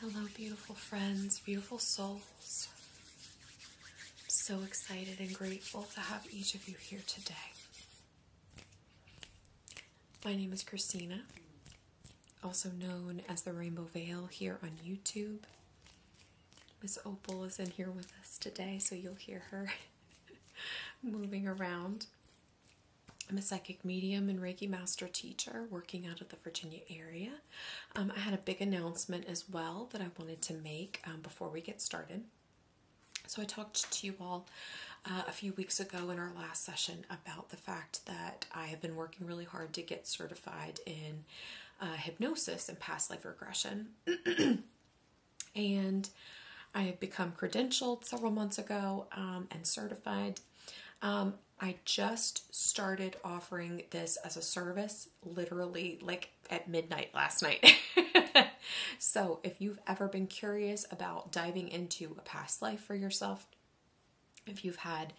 Hello, beautiful friends, beautiful souls. so excited and grateful to have each of you here today. My name is Christina, also known as the Rainbow Veil here on YouTube. Miss Opal is in here with us today, so you'll hear her moving around. I'm a psychic medium and Reiki master teacher working out of the Virginia area. Um, I had a big announcement as well that I wanted to make um, before we get started. So I talked to you all uh, a few weeks ago in our last session about the fact that I have been working really hard to get certified in uh, hypnosis and past life regression. and I have become credentialed several months ago um, and certified um, I just started offering this as a service literally like at midnight last night. so if you've ever been curious about diving into a past life for yourself, if you've had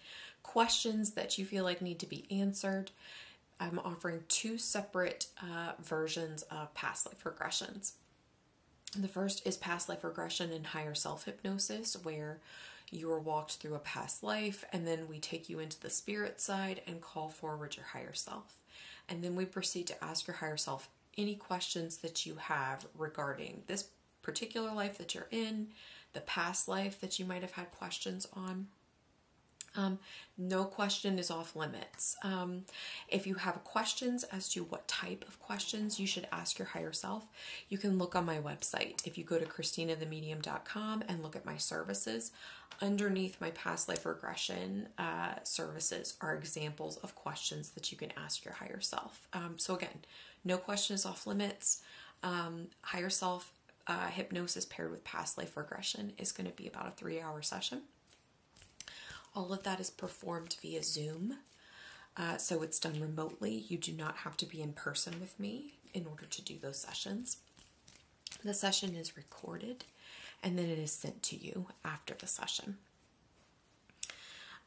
questions that you feel like need to be answered, I'm offering two separate uh, versions of past life regressions. The first is past life regression and higher self hypnosis, where you are walked through a past life, and then we take you into the spirit side and call forward your higher self. And then we proceed to ask your higher self any questions that you have regarding this particular life that you're in, the past life that you might have had questions on. Um, no question is off limits. Um, if you have questions as to what type of questions you should ask your higher self, you can look on my website. If you go to ChristinaTheMedium.com and look at my services, underneath my past life regression uh, services are examples of questions that you can ask your higher self. Um, so, again, no question is off limits. Um, higher self uh, hypnosis paired with past life regression is going to be about a three hour session. All of that is performed via Zoom. Uh, so it's done remotely. You do not have to be in person with me in order to do those sessions. The session is recorded and then it is sent to you after the session.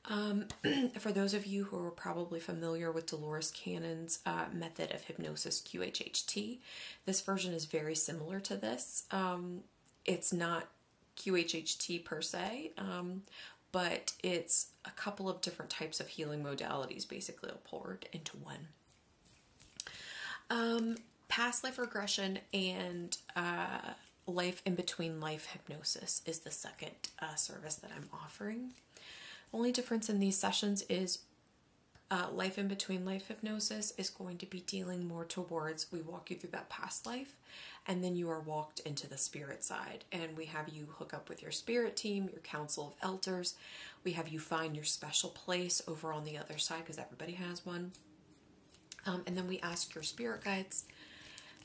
Um, for those of you who are probably familiar with Dolores Cannon's uh, method of hypnosis, QHHT, this version is very similar to this. Um, it's not QHHT per se, um, but it's a couple of different types of healing modalities basically poured into one. Um, past life regression and uh, life in between life hypnosis is the second uh, service that I'm offering. Only difference in these sessions is uh, life in between life hypnosis is going to be dealing more towards we walk you through that past life and then you are walked into the spirit side and we have you hook up with your spirit team your council of elders we have you find your special place over on the other side because everybody has one um, and then we ask your spirit guides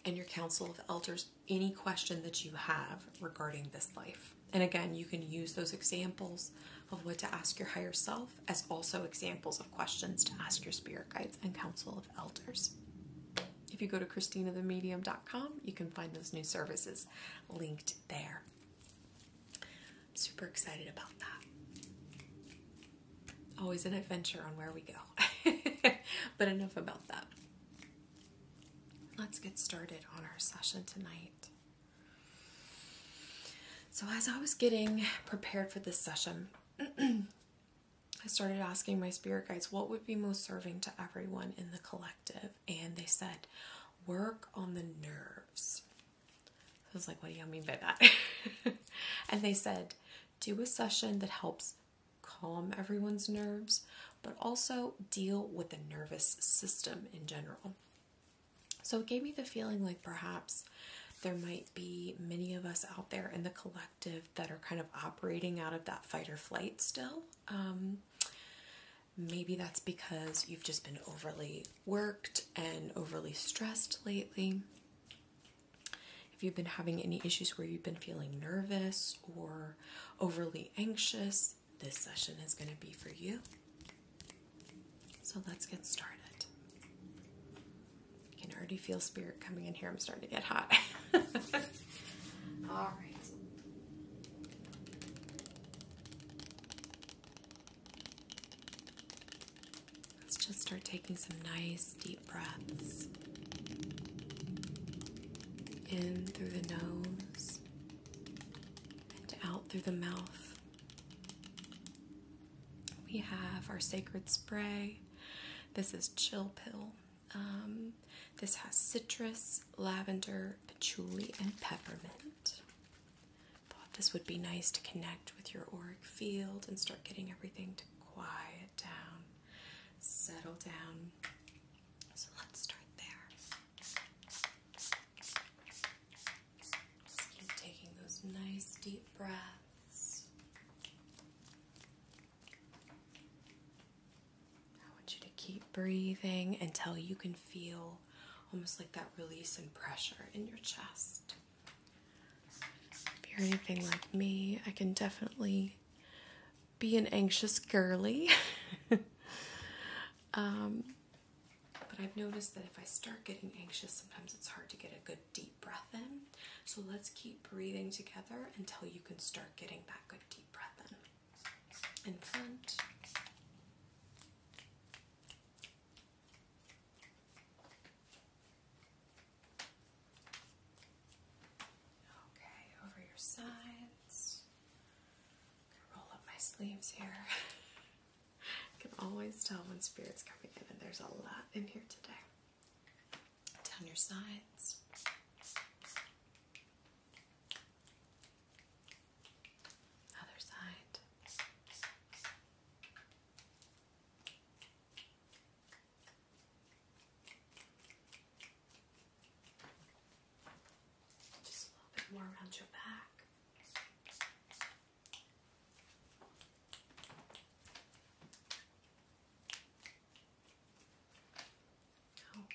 and your council of elders any question that you have regarding this life and again you can use those examples of what to ask your higher self as also examples of questions to ask your spirit guides and council Elders. If you go to ChristinaTheMedium.com, you can find those new services linked there. super excited about that. Always an adventure on where we go. but enough about that. Let's get started on our session tonight. So, as I was getting prepared for this session, I started asking my spirit guides what would be most serving to everyone in the collective, and they said, Work on the nerves. I was like, What do you mean by that? and they said, Do a session that helps calm everyone's nerves, but also deal with the nervous system in general. So it gave me the feeling like perhaps there might be many of us out there in the collective that are kind of operating out of that fight or flight still. Um, maybe that's because you've just been overly worked and overly stressed lately. If you've been having any issues where you've been feeling nervous or overly anxious, this session is going to be for you. So let's get started. I can already feel spirit coming in here. I'm starting to get hot. All right. Let's just start taking some nice deep breaths in through the nose and out through the mouth. We have our sacred spray this is Chill Pill. Um, this has citrus, lavender, patchouli, and peppermint. Thought this would be nice to connect with your auric field and start getting everything to quiet down, settle down. So let's start there. Just taking those nice deep breaths. I want you to keep breathing until you can feel almost like that release and pressure in your chest. If you're anything like me, I can definitely be an anxious girly. Um, but I've noticed that if I start getting anxious, sometimes it's hard to get a good deep breath in. So let's keep breathing together until you can start getting that good deep breath in. In front. Okay, over your sides. roll up my sleeves here. I can always tell when spirit's coming in, and there's a lot in here today down your sides. Other side. Just a little bit more around your back. Okay.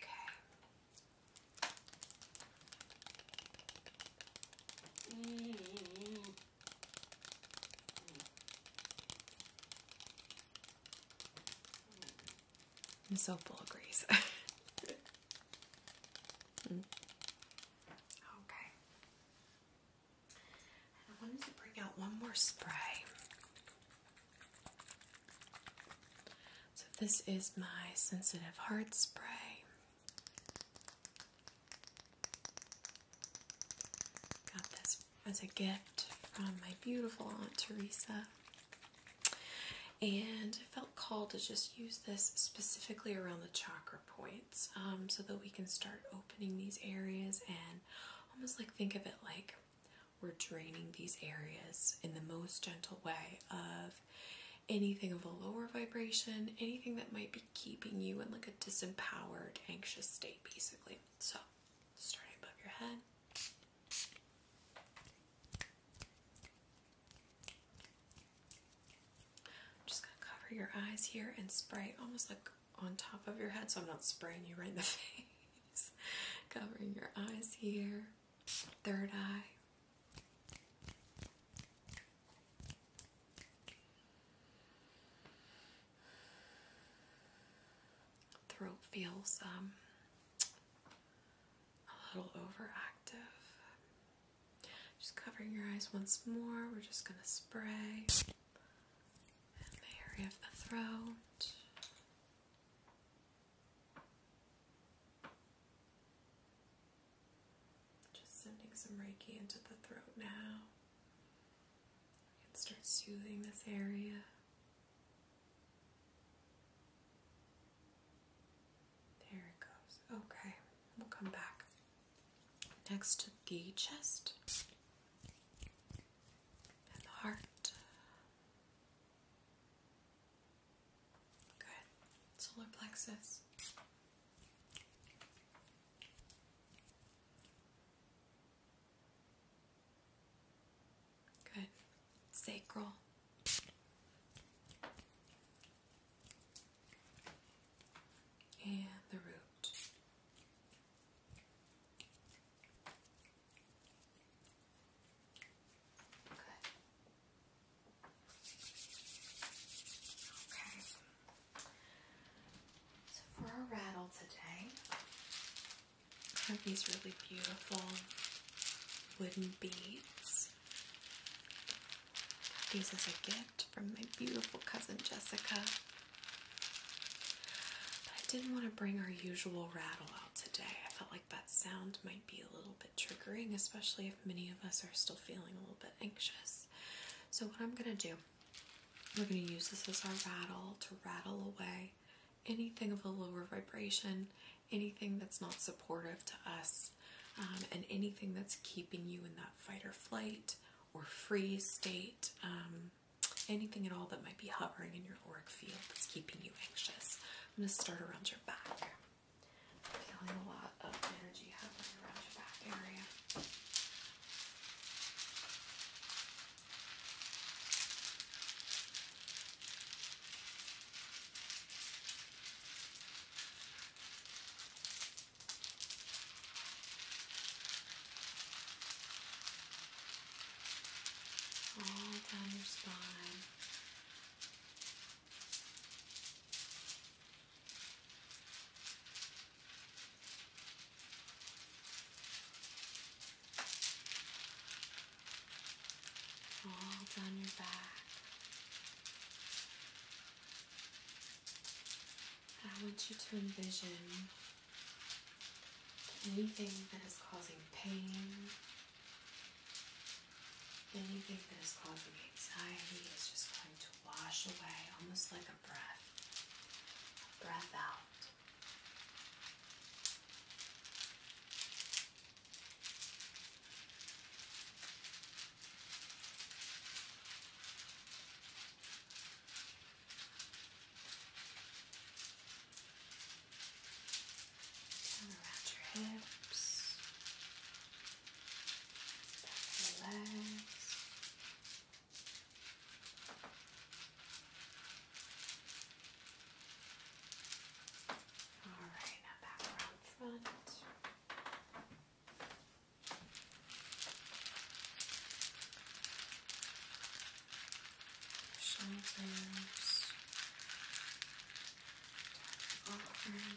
I'm so full of grease. mm. Okay. I wanted to bring out one more spray. So, this is my sensitive heart spray. Got this as a gift from my beautiful Aunt Teresa. And I felt called to just use this specifically around the chakra point. Um, so that we can start opening these areas and almost like think of it like we're draining these areas in the most gentle way of anything of a lower vibration, anything that might be keeping you in like a disempowered, anxious state basically. So starting above your head. just gonna cover your eyes here and spray almost like on top of your head so I'm not spraying you right in the face. Covering your eyes here, third eye. Throat feels um, a little overactive. Just covering your eyes once more. We're just going to spray and the area of the throat. Just sending some Reiki into the throat now. can start soothing this area. There it goes. Okay, we'll come back. Next, to the chest and the heart. Good. Solar plexus. Good. Sacral and the root. Good. Okay. So for our rattle today, I have these really beautiful wooden beads. Got these as a gift from my beautiful cousin Jessica. But I didn't want to bring our usual rattle out today. I felt like that sound might be a little bit triggering, especially if many of us are still feeling a little bit anxious. So, what I'm going to do, we're going to use this as our rattle to rattle away anything of a lower vibration, anything that's not supportive to us, um, and anything that's keeping you in that fight or flight or free state, um, anything at all that might be hovering in your auric field that's keeping you anxious. I'm going to start around your back. feeling a lot of energy hovering around your back area all down your spine. All down your back, I want you to envision anything that is causing pain, anything that is causing anxiety is just going to wash away, almost like a breath. breath out. Down around your hips, back your legs. All right, now back around front shoulders, arm, hips. Shoulders,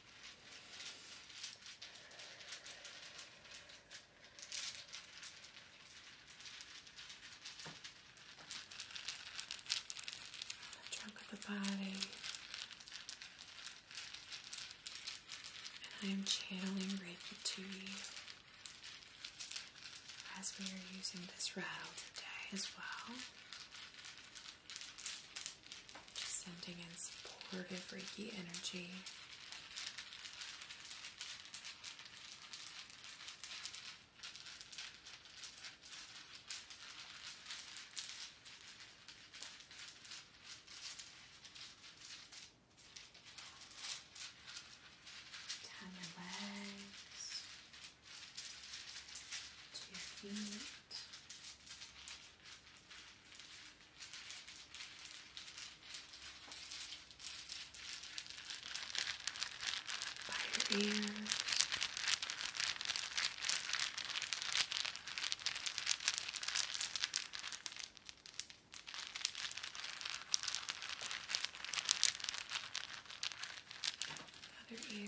The trunk of the body. And I am channeling Reiki to you as we are using this rattle today as well. Just sending in supportive Reiki energy. Down your legs to your feet by your ears. Other ear.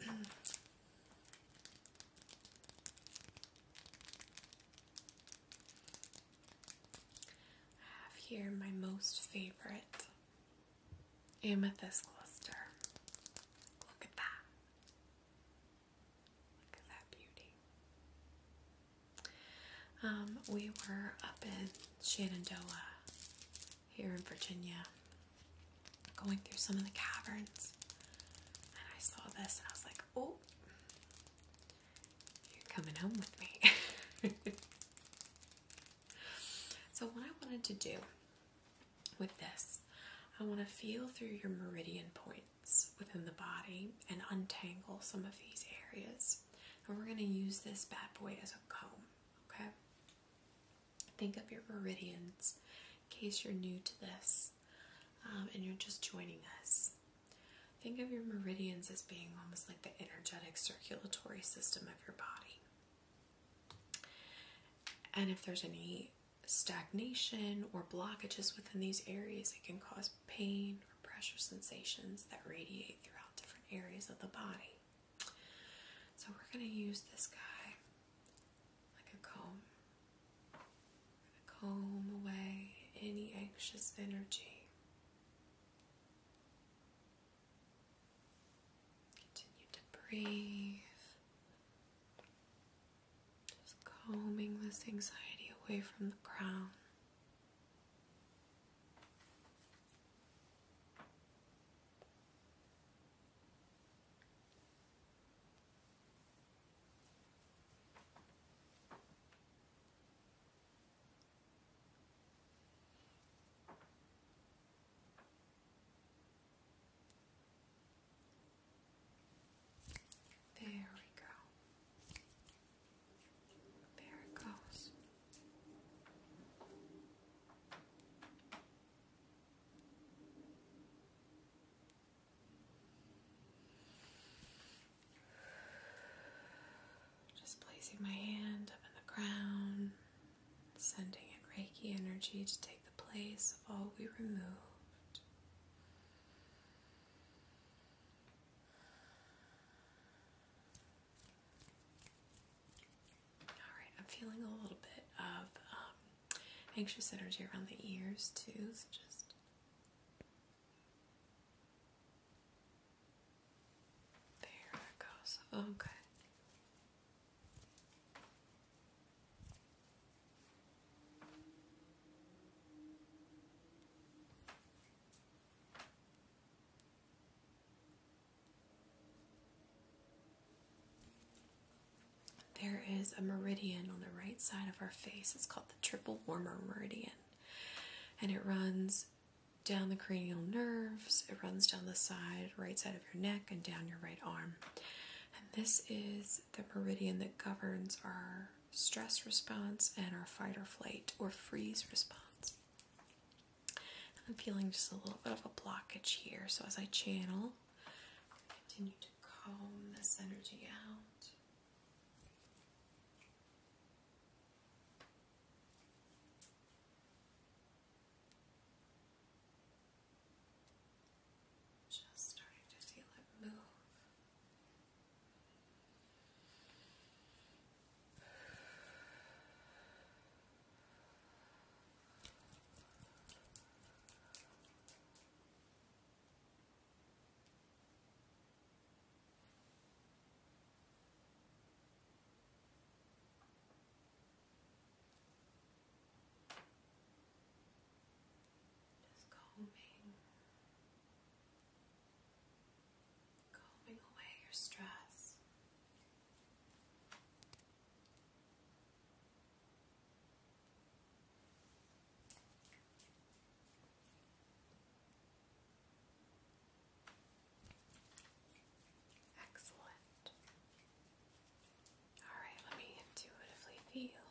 I have here my most favorite amethyst cluster. Look at that. Look at that beauty. Um, we were up in Shenandoah here in Virginia, going through some of the caverns, and I saw this and I was like, oh, you're coming home with me. so, what I wanted to do with this, I want to feel through your meridian points within the body and untangle some of these areas. And we're going to use this bad boy as a comb, okay? Think of your meridians in case you're new to this um, and you're just joining us. Think of your meridians as being almost like the energetic circulatory system of your body. And if there's any stagnation or blockages within these areas, it can cause pain or pressure sensations that radiate throughout different areas of the body. So we're going to use this guy like a comb. we comb away any anxious energy. Continue to breathe. Just combing this anxiety away from the crown. There we go. There it goes. Just placing my hand up in the ground, sending in Reiki energy to take the place of all we removed. Alright, I'm feeling a little bit of um, anxious energy around the ears too, so just. There it goes. Okay. Oh, there is a meridian on the right side of our face. It's called the triple warmer meridian. And it runs down the cranial nerves, it runs down the side, right side of your neck, and down your right arm. And this is the meridian that governs our stress response and our fight or flight or freeze response. I'm feeling just a little bit of a blockage here, so as I channel, I continue to comb this energy out. Just starting to feel it move. Just calming. Just calming away your stress. Excellent. All right, let me intuitively feel.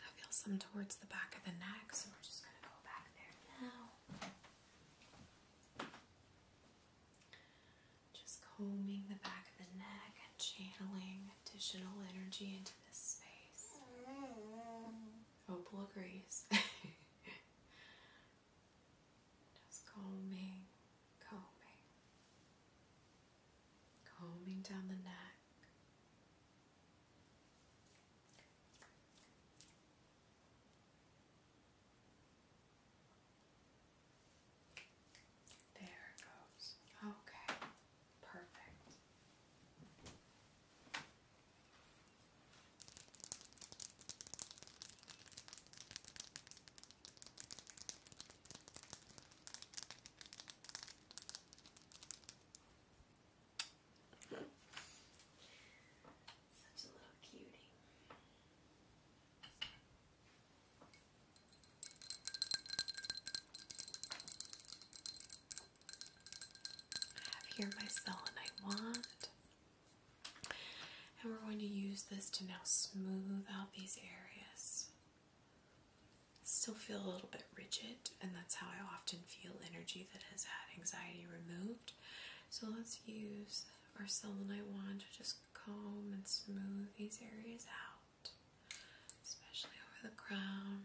I feel some towards the back of the neck, so we're just going to go back there now. Just combing the back of the neck and channeling additional energy into this space. Opal agrees. Just combing, combing, combing down the neck. There it goes. Okay, perfect. Such a little cutie. I have here my selenite wand. And we're going to use this to now smooth out these areas. Still feel a little bit rigid, and that's how I often feel energy that has had anxiety removed. So let's use our selenite wand to just comb and smooth these areas out, especially over the crown.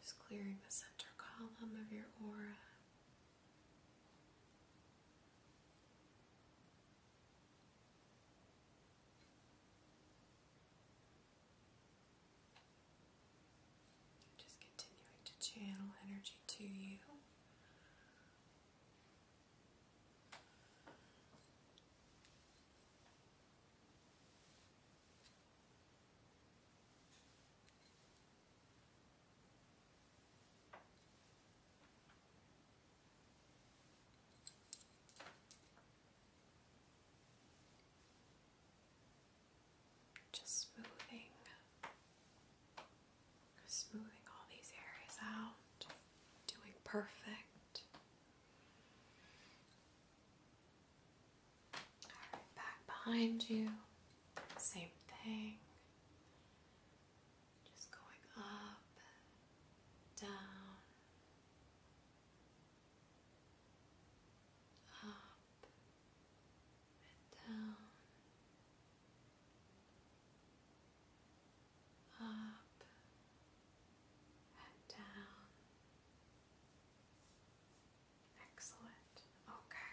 Just clearing the center column of your aura. Just continuing to channel energy to you. Just smoothing, smoothing all these areas out, doing perfect. All right, back behind you, same thing. Just going up, down, up and down, up and down. Excellent. Okay.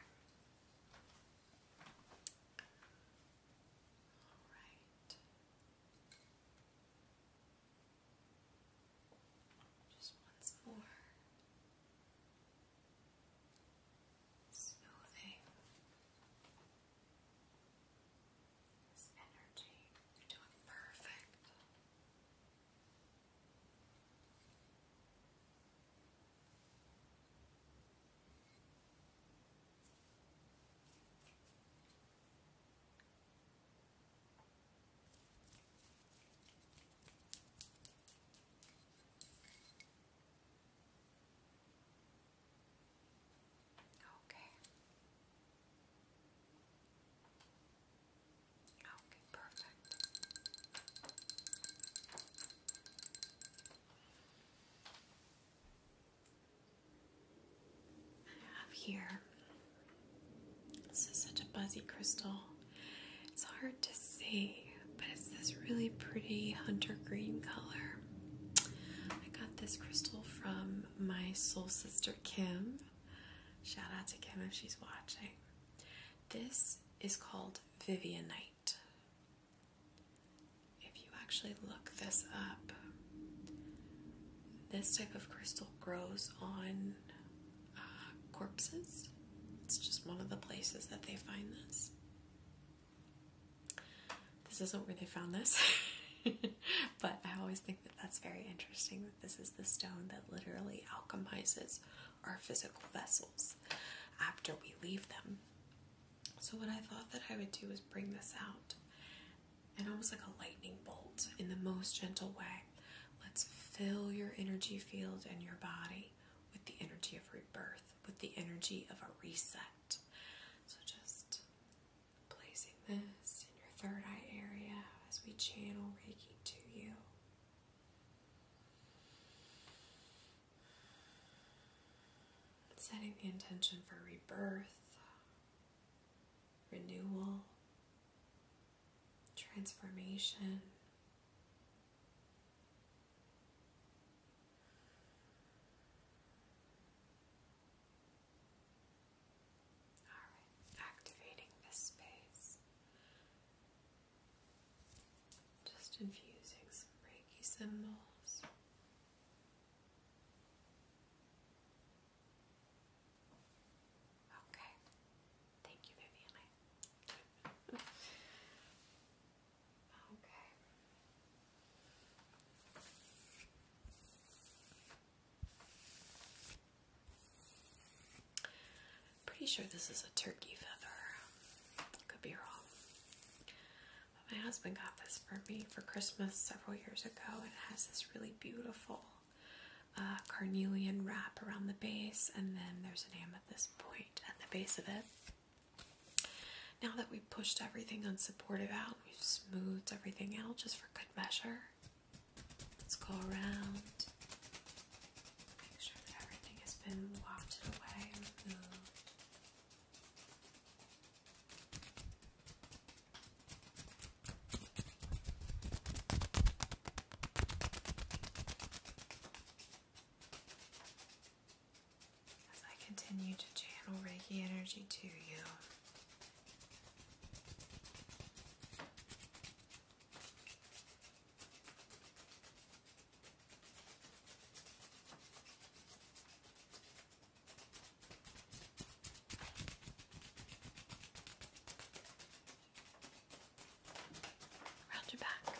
All right. Just once more. Smoothing this energy. You're doing perfect. Okay. Okay, perfect. Okay. I have here. This is such a buzzy crystal. It's hard to see, but it's this really pretty hunter green color. I got this crystal from my soul sister Kim. Shout out to Kim if she's watching. This is called Vivianite. If you actually look this up, this type of crystal grows on uh, corpses. It's just one of the places that they find this. This isn't where they found this, but I always think that that's very interesting that this is the stone that literally alchemizes our physical vessels after we leave them. So, what I thought that I would do was bring this out and almost like a lightning bolt in the most gentle way. Let's fill your energy field and your body with the energy of rebirth, with the energy of a reset. So just placing this in your third eye area as we channel Reiki to you. Setting the intention for rebirth, renewal, transformation. All right, activating this space, just infusing some Reiki symbols. Okay. Thank you, Vivian. okay. Pretty sure this is a turkey feather. Could be wrong. my husband got this for me for Christmas several years ago. It has this really beautiful carnelian wrap around the base, and then there's an amethyst point at the base of it. Now that we've pushed everything unsupportive out, we've smoothed everything out just for good measure. Let's go around, make sure that everything has been wafted away and removed. As I continue to channel Reiki energy to you, Round your back.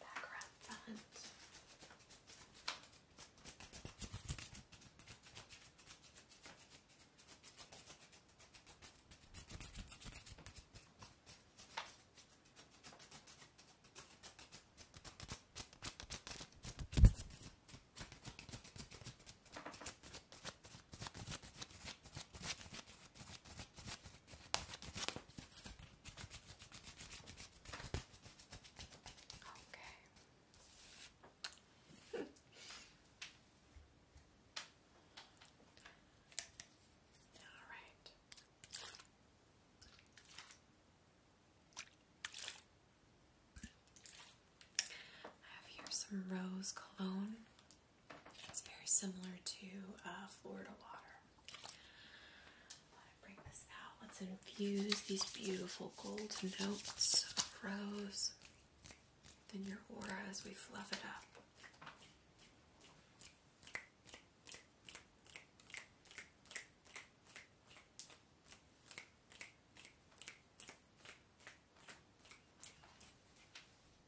Background font. Okay. All right. I have here some rose cologne. It's very similar to uh, Florida water. Let's infuse these beautiful gold notes of rose. in your aura as we fluff it up.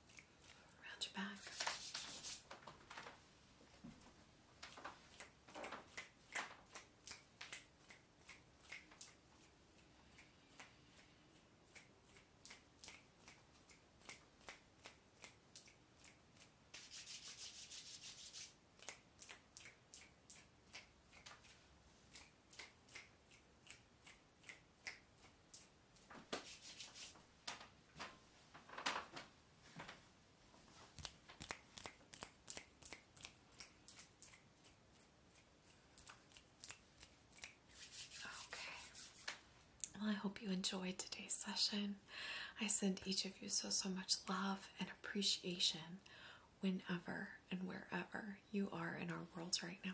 around your back. Good. Okay. Well, I hope you enjoyed today's session. I send each of you so, so much love and appreciation whenever and wherever you are in our worlds right now.